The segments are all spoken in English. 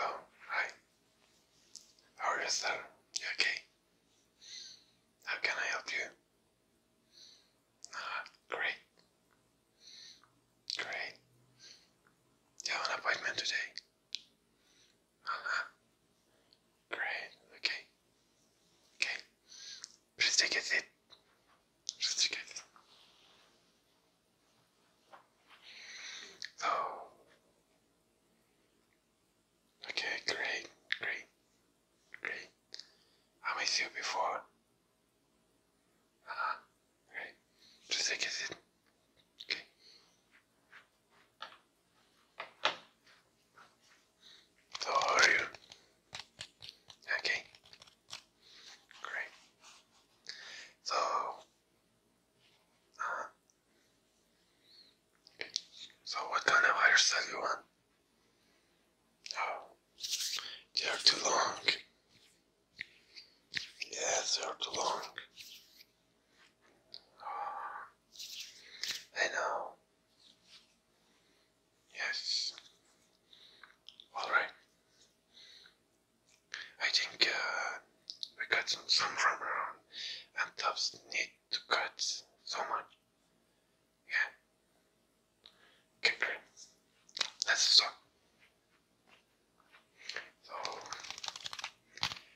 Oh, hi. How are you, sir? You okay? How can I help you? Ah, great. Great. You have an appointment today? Uh huh. Great. Okay. Okay. Please take a seat. Just take a seat. Oh. Okay. Great. Great. Great. I met you before. Uh huh. Great. Just take a Okay how are you? Okay. Great. So uh, so what kind of hairstyle you want? Oh, they are too long. Yes, they are too long. I know. Yes. All right. I think uh, we got some, some around, and tops need to cut so much. Yeah. Okay, Let's stop. So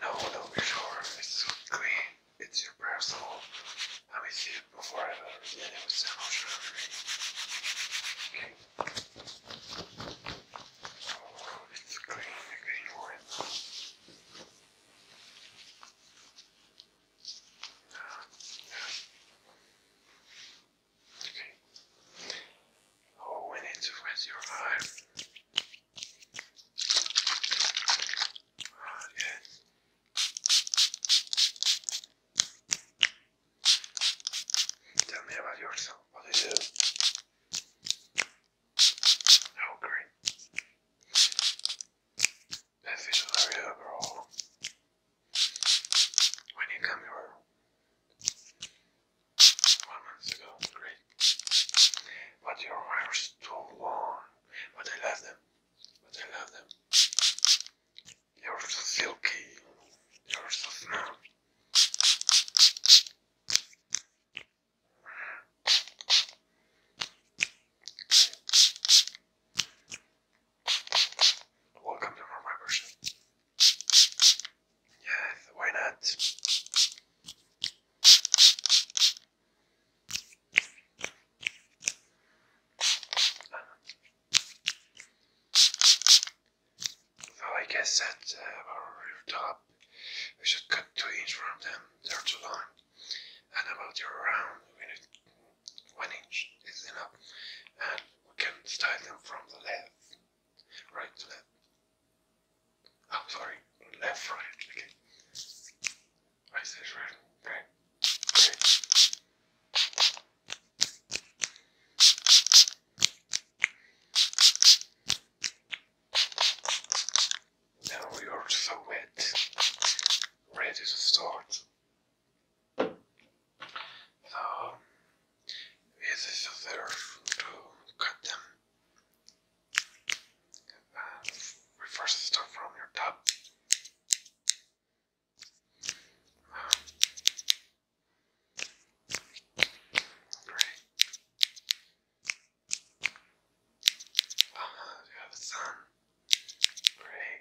No, don't be sure. It's clean. It's your personal. I'm see it before I ever did it with someone. Okay. Oh, it's clean, a clean one. No, Okay. Oh, we need to your eye. Right, yeah. Tell me about yourself. What do you do? Oh, great. I feel very When you come here, one month ago, great. But your hair's too long. But I love them. But I love them. You're silky. You're so small. Welcome to my person. Yeah, why not? So I guess that uh, top, we should cut two inches from them. They're too long. And about your round, one inch is enough. And we can style them from the left, right to left. I'm oh, sorry, left, right, okay. I said right. Okay. Now we are so wet, ready to start. So, with the other to cut them uh, reverse the stuff from your tab. great. Uh, you have a son. Great.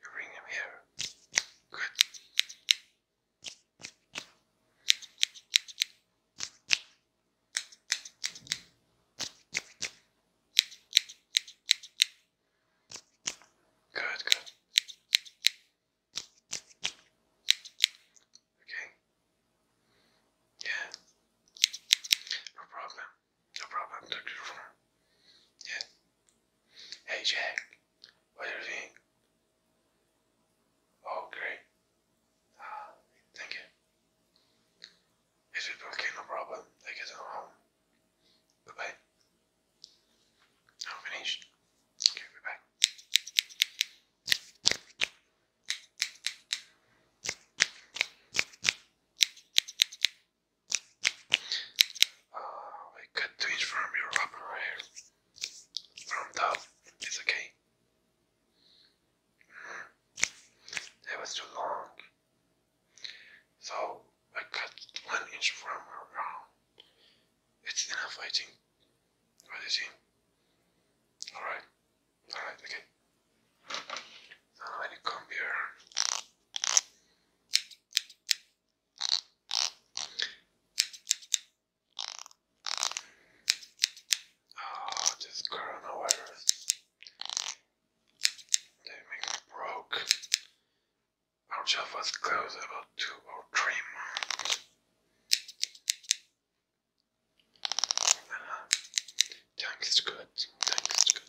You bring him here. Good. Good, good. Okay. Yeah. No problem. No problem, Dr. Farmer. Yeah. Hey, Jack. What do you think? Oh, great. Ah, thank you. it's okay, no problem. I guess i home. Bye bye. Oh, I'm finished. Okay, bye bye. Uh, I got twins your upper hair. Warmed up. It's okay. That was too long. So I cut one inch from her It's enough, I think. Alright. Alright, okay. now I need come here. Oh, this coronavirus. They make me broke. Our job was closed about two or three months. Uh, thanks to God, thanks to God.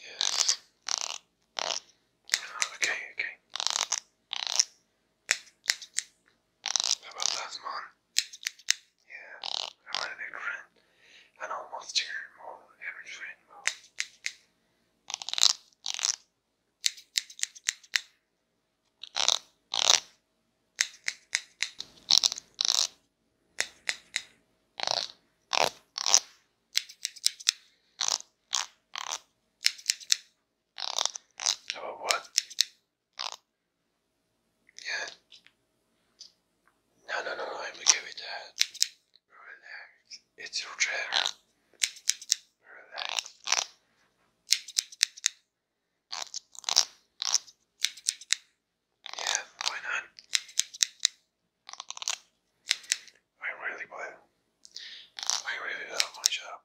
Yes. Oh, okay, okay. How about last one? Yeah, I want a big friend. An almost your more average friend about what? Yeah. No, no, no, I'm okay with that. Relax. It's your chair. Relax. Yeah, why not? I really would. I really love my job.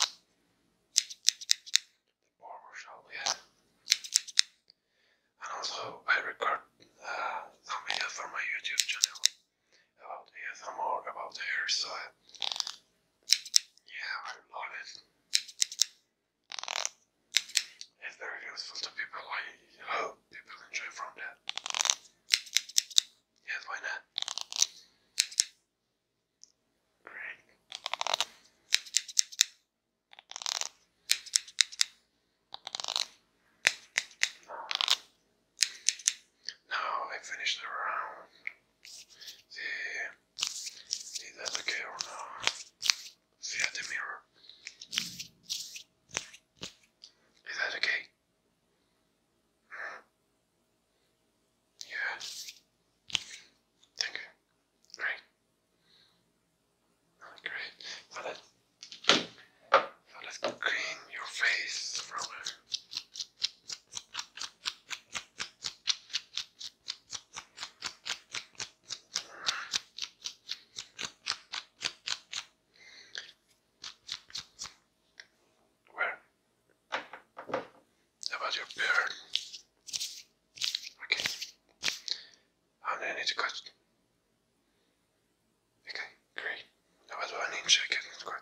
The barber shop, yeah. And also, I record uh, some for my YouTube channel about ASMR, about hairstyle. Yeah, I love it. It's very useful to people. I hope people enjoy from that. Yes, why not? Great. Now, now I finished the round. The is that okay or not? Via the mirror. Is that okay? Yeah. Thank Great. great. Now let's, clean your face from well, about your bird. Okay. How oh, do I need cut Okay, great. Now what do I need to check it? It's okay.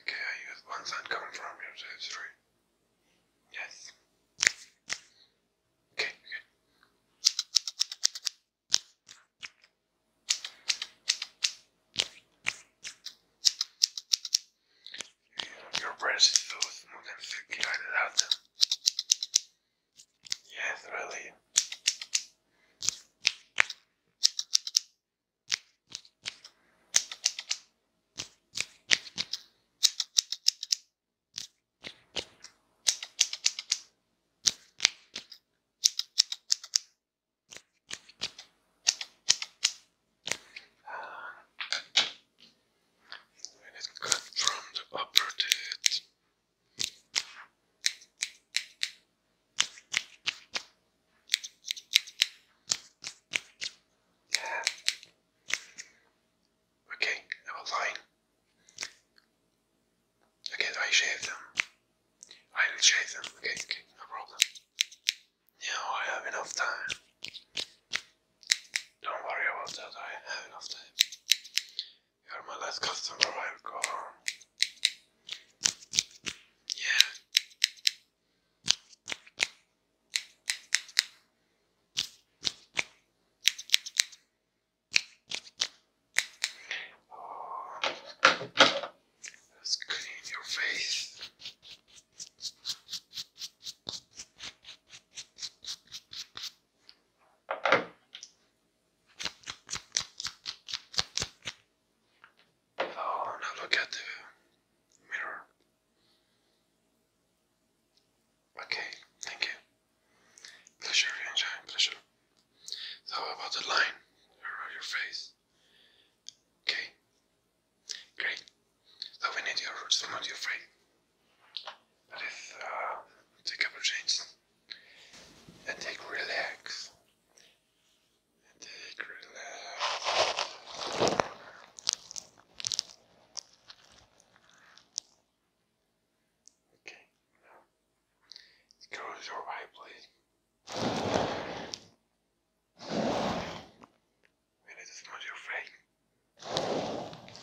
Okay, I use one side coming from here, so Yes. Okay, okay. Your breath is so and silky, I love Yes, really. When it cut from the upper teeth. Yeah. Okay, I was lying. Okay, I shave them. I will shave them. Okay, okay, no problem. Now I have enough time. Don't worry about that, I have enough time. You're my last customer, I'll go home. Yeah. let's clean your face. Oh, now look at the mirror. Okay, thank you. Pleasure, enjoy, pleasure. So about the line around your face. Okay, great. So we need your roots, not your frame. That is, uh, take up your chains and take relax. Okay, now close your eye, please. And it is not your face.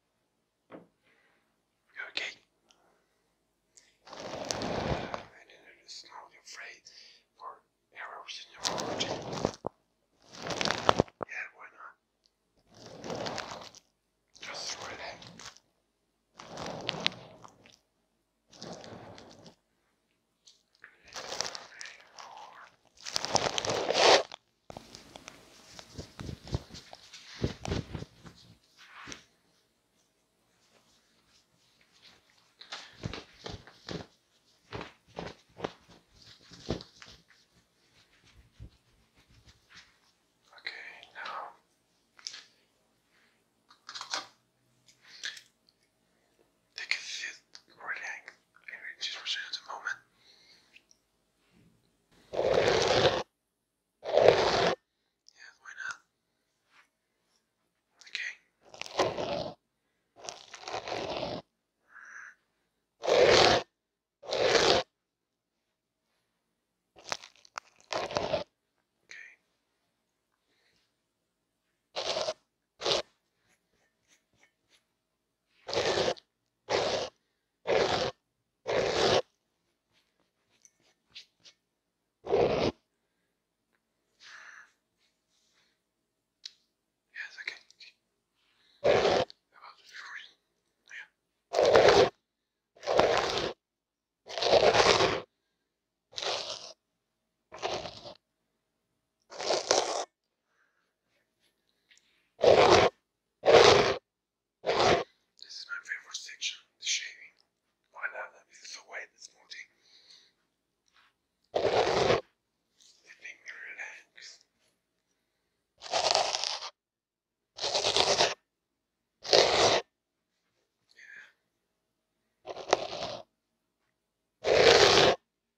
Okay. Uh, I didn't you afraid for errors in your origin. Yeah, why not? Just throw Okay, now take a thick right just for at moment. Yeah, why not? Okay. Okay. Yes, okay. okay. About recording. Yeah. This is my favorite section, the shaving. Why not? This so white and smoothing. It me relax.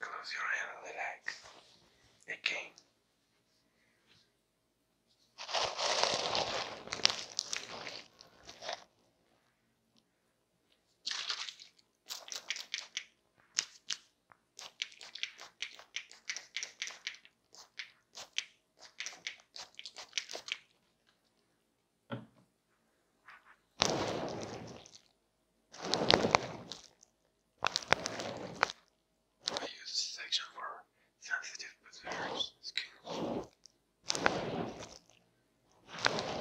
Close your eyes. and relax. Okay. I use this section for sensitive but very skin.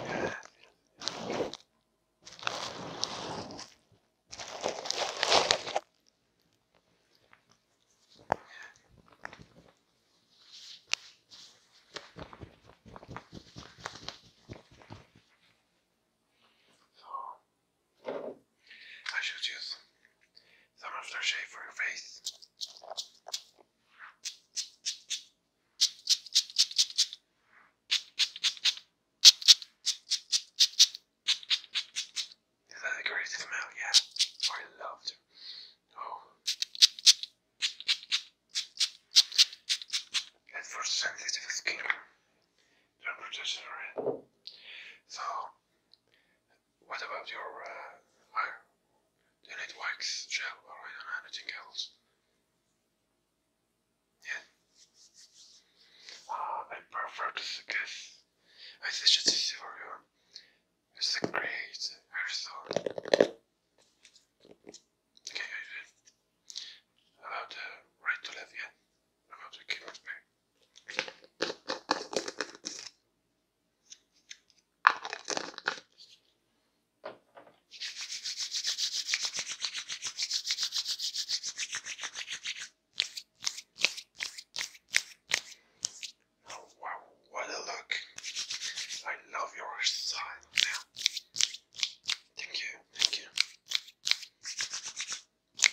Yeah. So, I should use some aftershave for your face. that great smell? Yeah, I love it. Oh. And for sensitive skin, temperatures are So, what about your uh, Do you need wax gel or anything else? Yeah. Uh, I prefer to guess. I suggest this for you. It's a great hair Okay, I About right to left, yeah. About the keyboard back. Oh wow, what a look! I love your style Thank you, thank you. Yeah.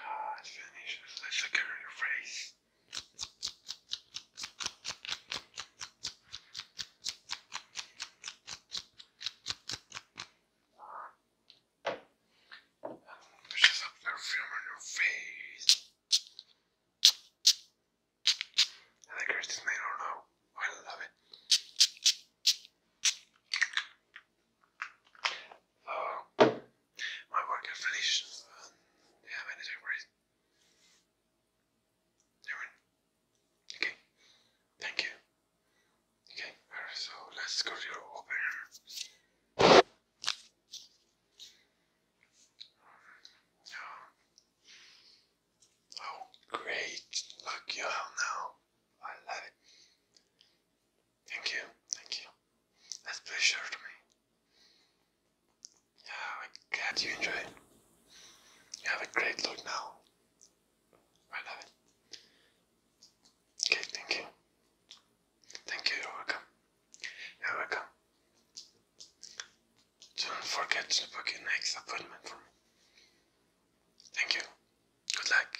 Ah, it's finished. Let's look at your face. Push this up perfume on your face. I like this man or no? I love it. So, oh. my work is finished and um, yeah, many degrees. Alright. Okay. Thank you. Okay. Alright, so let's go to your oh, great. Look, you have now. I love it. Thank you. Thank you. That's pleasure to me. Yeah, i glad you enjoy You have a great look now. I love it. Okay, thank you. Thank you, you're welcome. You're welcome. Don't forget to book your next appointment for me. Thank you. Good luck.